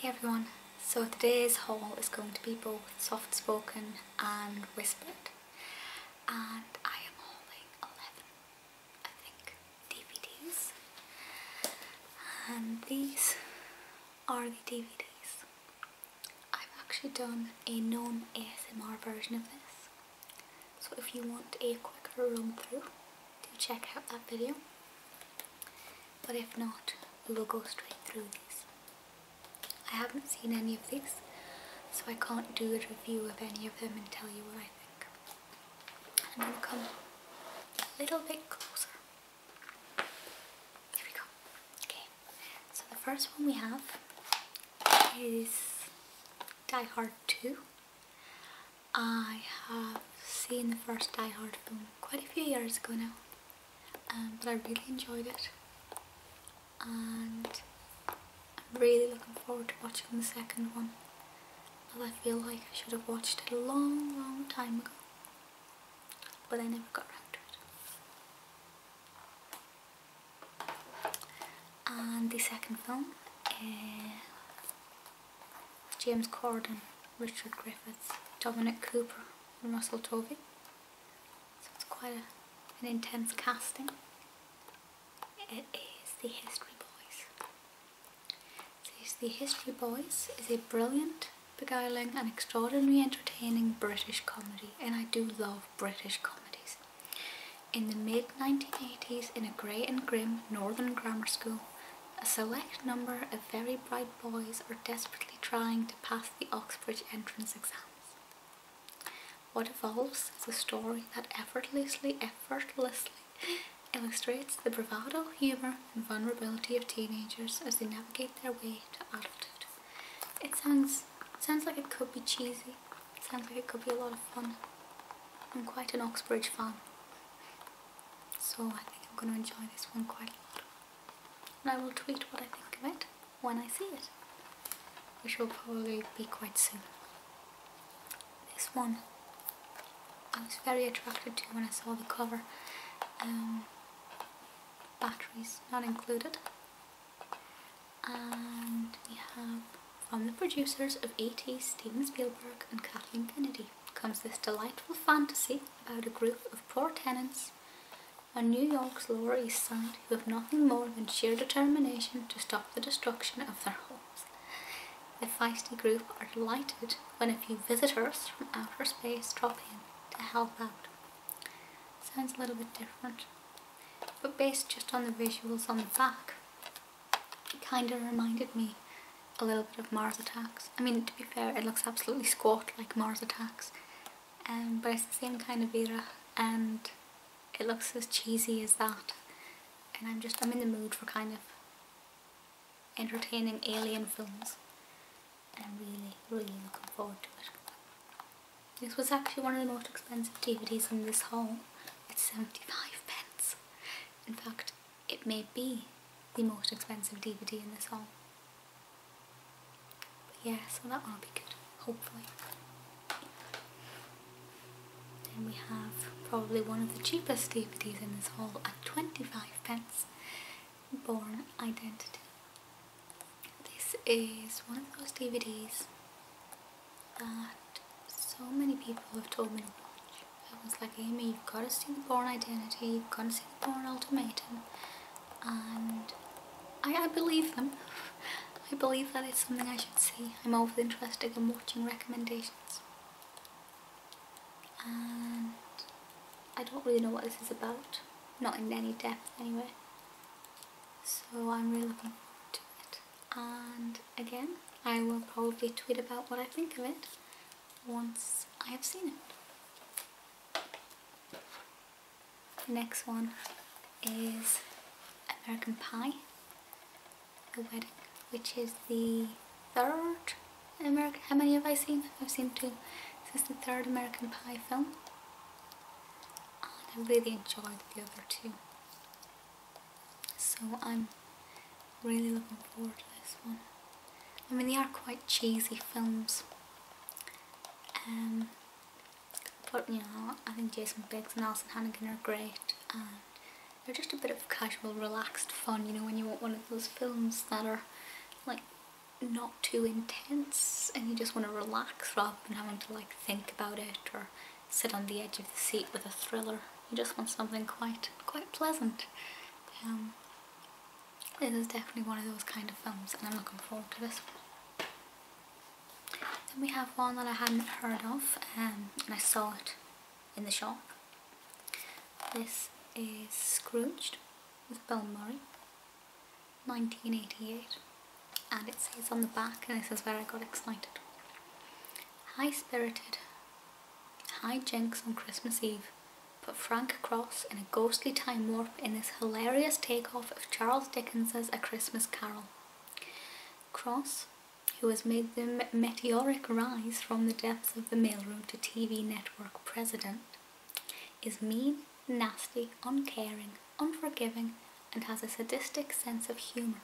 Hey everyone, so today's haul is going to be both soft spoken and whispered and I am hauling 11, I think, DVDs and these are the DVDs. I've actually done a non-ASMR version of this so if you want a quicker run through, do check out that video. But if not, we'll go straight through these. I haven't seen any of these, so I can't do a review of any of them and tell you what I think. I'm going to come a little bit closer. Here we go. Okay, so the first one we have is Die Hard 2. I have seen the first Die Hard film quite a few years ago now, um, but I really enjoyed it, and I'm really looking forward to watching the second one, as I feel like I should have watched it a long, long time ago, but I never got around to it and the second film uh, James Corden, Richard Griffiths, Dominic Cooper and Russell Tovey so it's quite an intense casting it is The History Boys so The History Boys is a brilliant beguiling and extraordinarily entertaining British comedy and I do love British comedies in the mid-1980s, in a grey and grim northern grammar school, a select number of very bright boys are desperately trying to pass the Oxbridge entrance exams. What evolves is a story that effortlessly, effortlessly illustrates the bravado, humour and vulnerability of teenagers as they navigate their way to adulthood. It sounds, sounds like it could be cheesy, Sounds like it could be a lot of fun. I'm quite an Oxbridge fan, so I think I'm going to enjoy this one quite a lot. And I will tweet what I think of it when I see it, which will probably be quite soon. This one I was very attracted to when I saw the cover. Um, batteries not included and we have from the producers of E.T. Steven Spielberg and Kathleen Kennedy comes this delightful fantasy about a group of poor tenants on New York's Lower East Side who have nothing more than sheer determination to stop the destruction of their homes. The feisty group are delighted when a few visitors from outer space drop in to help out. Sounds a little bit different but based just on the visuals on the back it kind of reminded me a little bit of Mars Attacks. I mean to be fair it looks absolutely squat like Mars Attacks um, but it's the same kind of era and it looks as cheesy as that and I'm just I'm in the mood for kind of entertaining alien films and I'm really really looking forward to it. This was actually one of the most expensive DVDs in this haul at 75 pence. In fact, it may be the most expensive DVD in this haul. But yeah, so that one will be good, hopefully. Then we have probably one of the cheapest DVDs in this haul at 25 pence, Born Identity. This is one of those DVDs that so many people have told me to watch. It was like, Amy, you've got to see The Born Identity, you've got to see The Born Ultimatum. And I, I believe them. I believe that it's something I should see. I'm always interested in watching recommendations. And I don't really know what this is about. Not in any depth, anyway. So I'm really looking forward to and again, I will probably tweet about what I think of it once I have seen it. The next one is American Pie, The Wedding, which is the third American, how many have I seen? I've seen two. This is the third American Pie film. Oh, and I really enjoyed the other two. So I'm really looking forward to this one. I mean they are quite cheesy films. Um, but you know, I think Jason Biggs and Alison Hannigan are great and they're just a bit of casual, relaxed fun, you know, when you want one of those films that are like not too intense and you just want to relax rather than having to like think about it or sit on the edge of the seat with a thriller. You just want something quite quite pleasant. Um, this is definitely one of those kind of films and I'm looking forward to this Then we have one that I hadn't heard of um, and I saw it in the shop. This is Scrooged with Bill Murray. 1988 and it says on the back and this is where I got excited high spirited high jinks on Christmas Eve put Frank Cross in a ghostly time warp in this hilarious takeoff of Charles Dickens's A Christmas Carol Cross who has made the meteoric rise from the depths of the mailroom to TV network president is mean, nasty, uncaring, unforgiving, and has a sadistic sense of humour.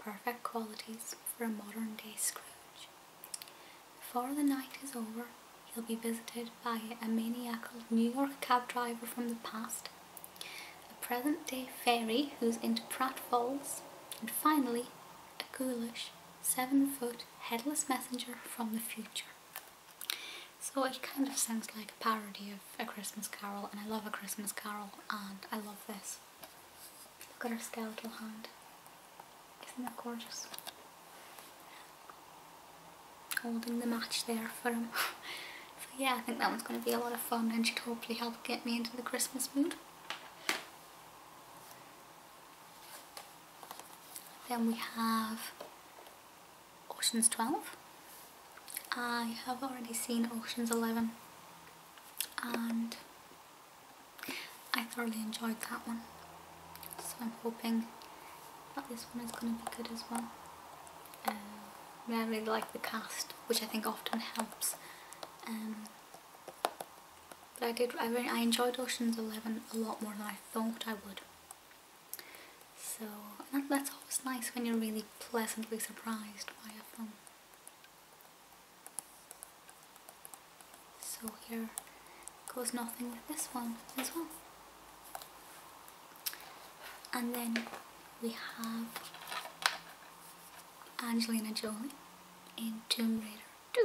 Perfect qualities for a modern day Scrooge. Before the night is over, he'll be visited by a maniacal New York cab driver from the past, a present day fairy who's into pratfalls, and finally, a ghoulish, seven foot, headless messenger from the future. So it kind of sounds like a parody of A Christmas Carol and I love A Christmas Carol and I love this. Look at her skeletal hand. Isn't that gorgeous? Holding the match there for him. so yeah, I think that one's going to be a lot of fun and should hopefully help get me into the Christmas mood. Then we have Oceans 12. I have already seen Oceans 11 and I thoroughly enjoyed that one. So I'm hoping that this one is going to be good as well. Um, I really like the cast, which I think often helps. Um, but I did. I enjoyed Ocean's Eleven a lot more than I thought I would. So that's always nice when you're really pleasantly surprised by a film. So here goes nothing with this one as well. And then we have Angelina Jolie in Tomb Raider 2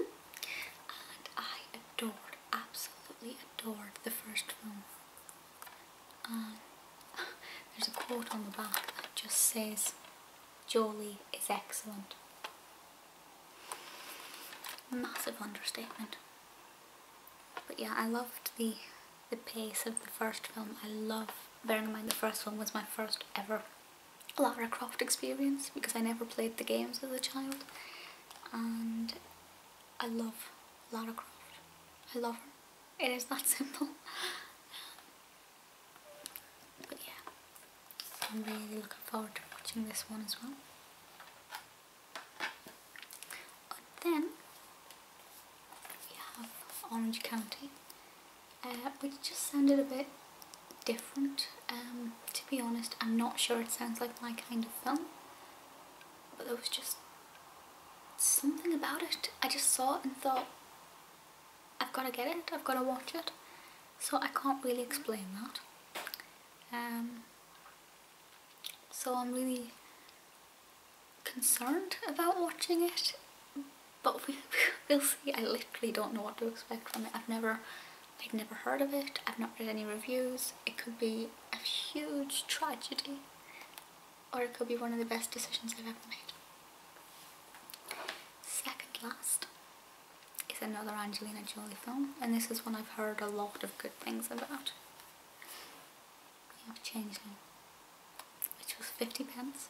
and I adored absolutely adored the first film. Um, there's a quote on the back that just says, Jolie is excellent. Massive understatement. But yeah, I loved the the pace of the first film. I love, bearing in mind the first film was my first ever Lara Croft experience because I never played the games as a child and I love Lara Croft. I love her. It is that simple. but yeah, I'm really looking forward to watching this one as well. then we have Orange County, uh, which just sounded a bit different. Um, to be honest, I'm not sure it sounds like my kind of film, but there was just something about it. I just saw it and thought, I've got to get it, I've got to watch it. So I can't really explain that. Um, so I'm really concerned about watching it, but we'll see. I literally don't know what to expect from it. I've never i have never heard of it, I've not read any reviews, it could be a huge tragedy or it could be one of the best decisions I've ever made. Second last is another Angelina Jolie film and this is one I've heard a lot of good things about. You know, Changeling, which was 50 pence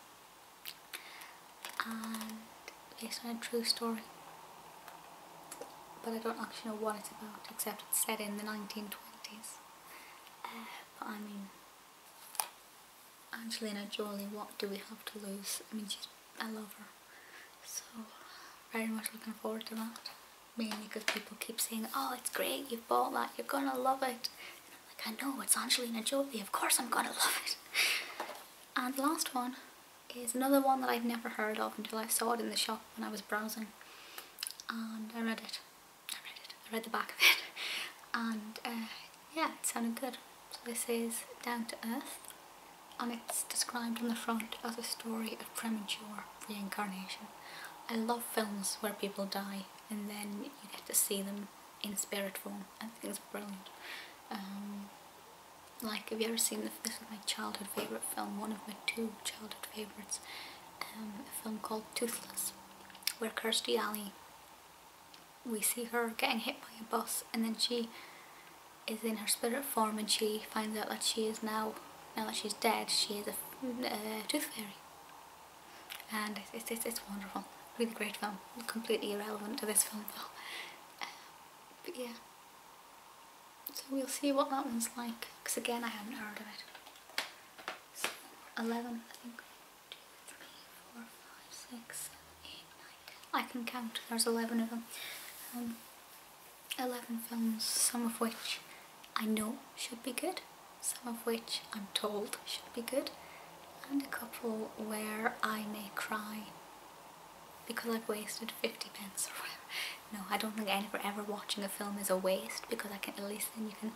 and based on a true story. But I don't actually know what it's about, except it's set in the 1920s. Uh, but I mean, Angelina Jolie, what do we have to lose? I mean, she's, I love her. So, very much looking forward to that. Mainly because people keep saying, oh, it's great, you bought that, you're gonna love it. And I'm like, I know, it's Angelina Jolie, of course I'm gonna love it. And last one it's another one that I'd never heard of until I saw it in the shop when I was browsing and I read it. I read it. I read the back of it and uh, yeah it sounded good. So this is Down to Earth and it's described on the front as a story of premature reincarnation. I love films where people die and then you get to see them in spirit form. I think it's brilliant. Um, like, have you ever seen the, this is my childhood favourite film, one of my two childhood favourites, um, a film called Toothless, where Kirstie Alley, we see her getting hit by a bus and then she is in her spirit form and she finds out that she is now, now that she's dead, she is a tooth fairy. And it's, it's, it's wonderful, really great film, completely irrelevant to this film though but yeah so we'll see what that one's like because again I haven't heard of it 11 I think 2, 3, 4, 5, 6, 7, 8, 9, 10 I can count there's 11 of them um, 11 films some of which I know should be good some of which I'm told should be good and a couple where I may cry because I've wasted 50 pence or whatever. No, I don't think any for ever watching a film is a waste because I can at least then you can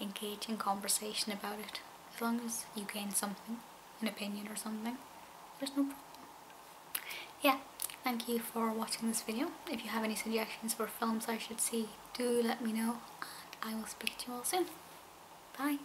engage in conversation about it. As long as you gain something, an opinion or something, there's no problem. Yeah, thank you for watching this video. If you have any suggestions for films I should see, do let me know and I will speak to you all soon. Bye!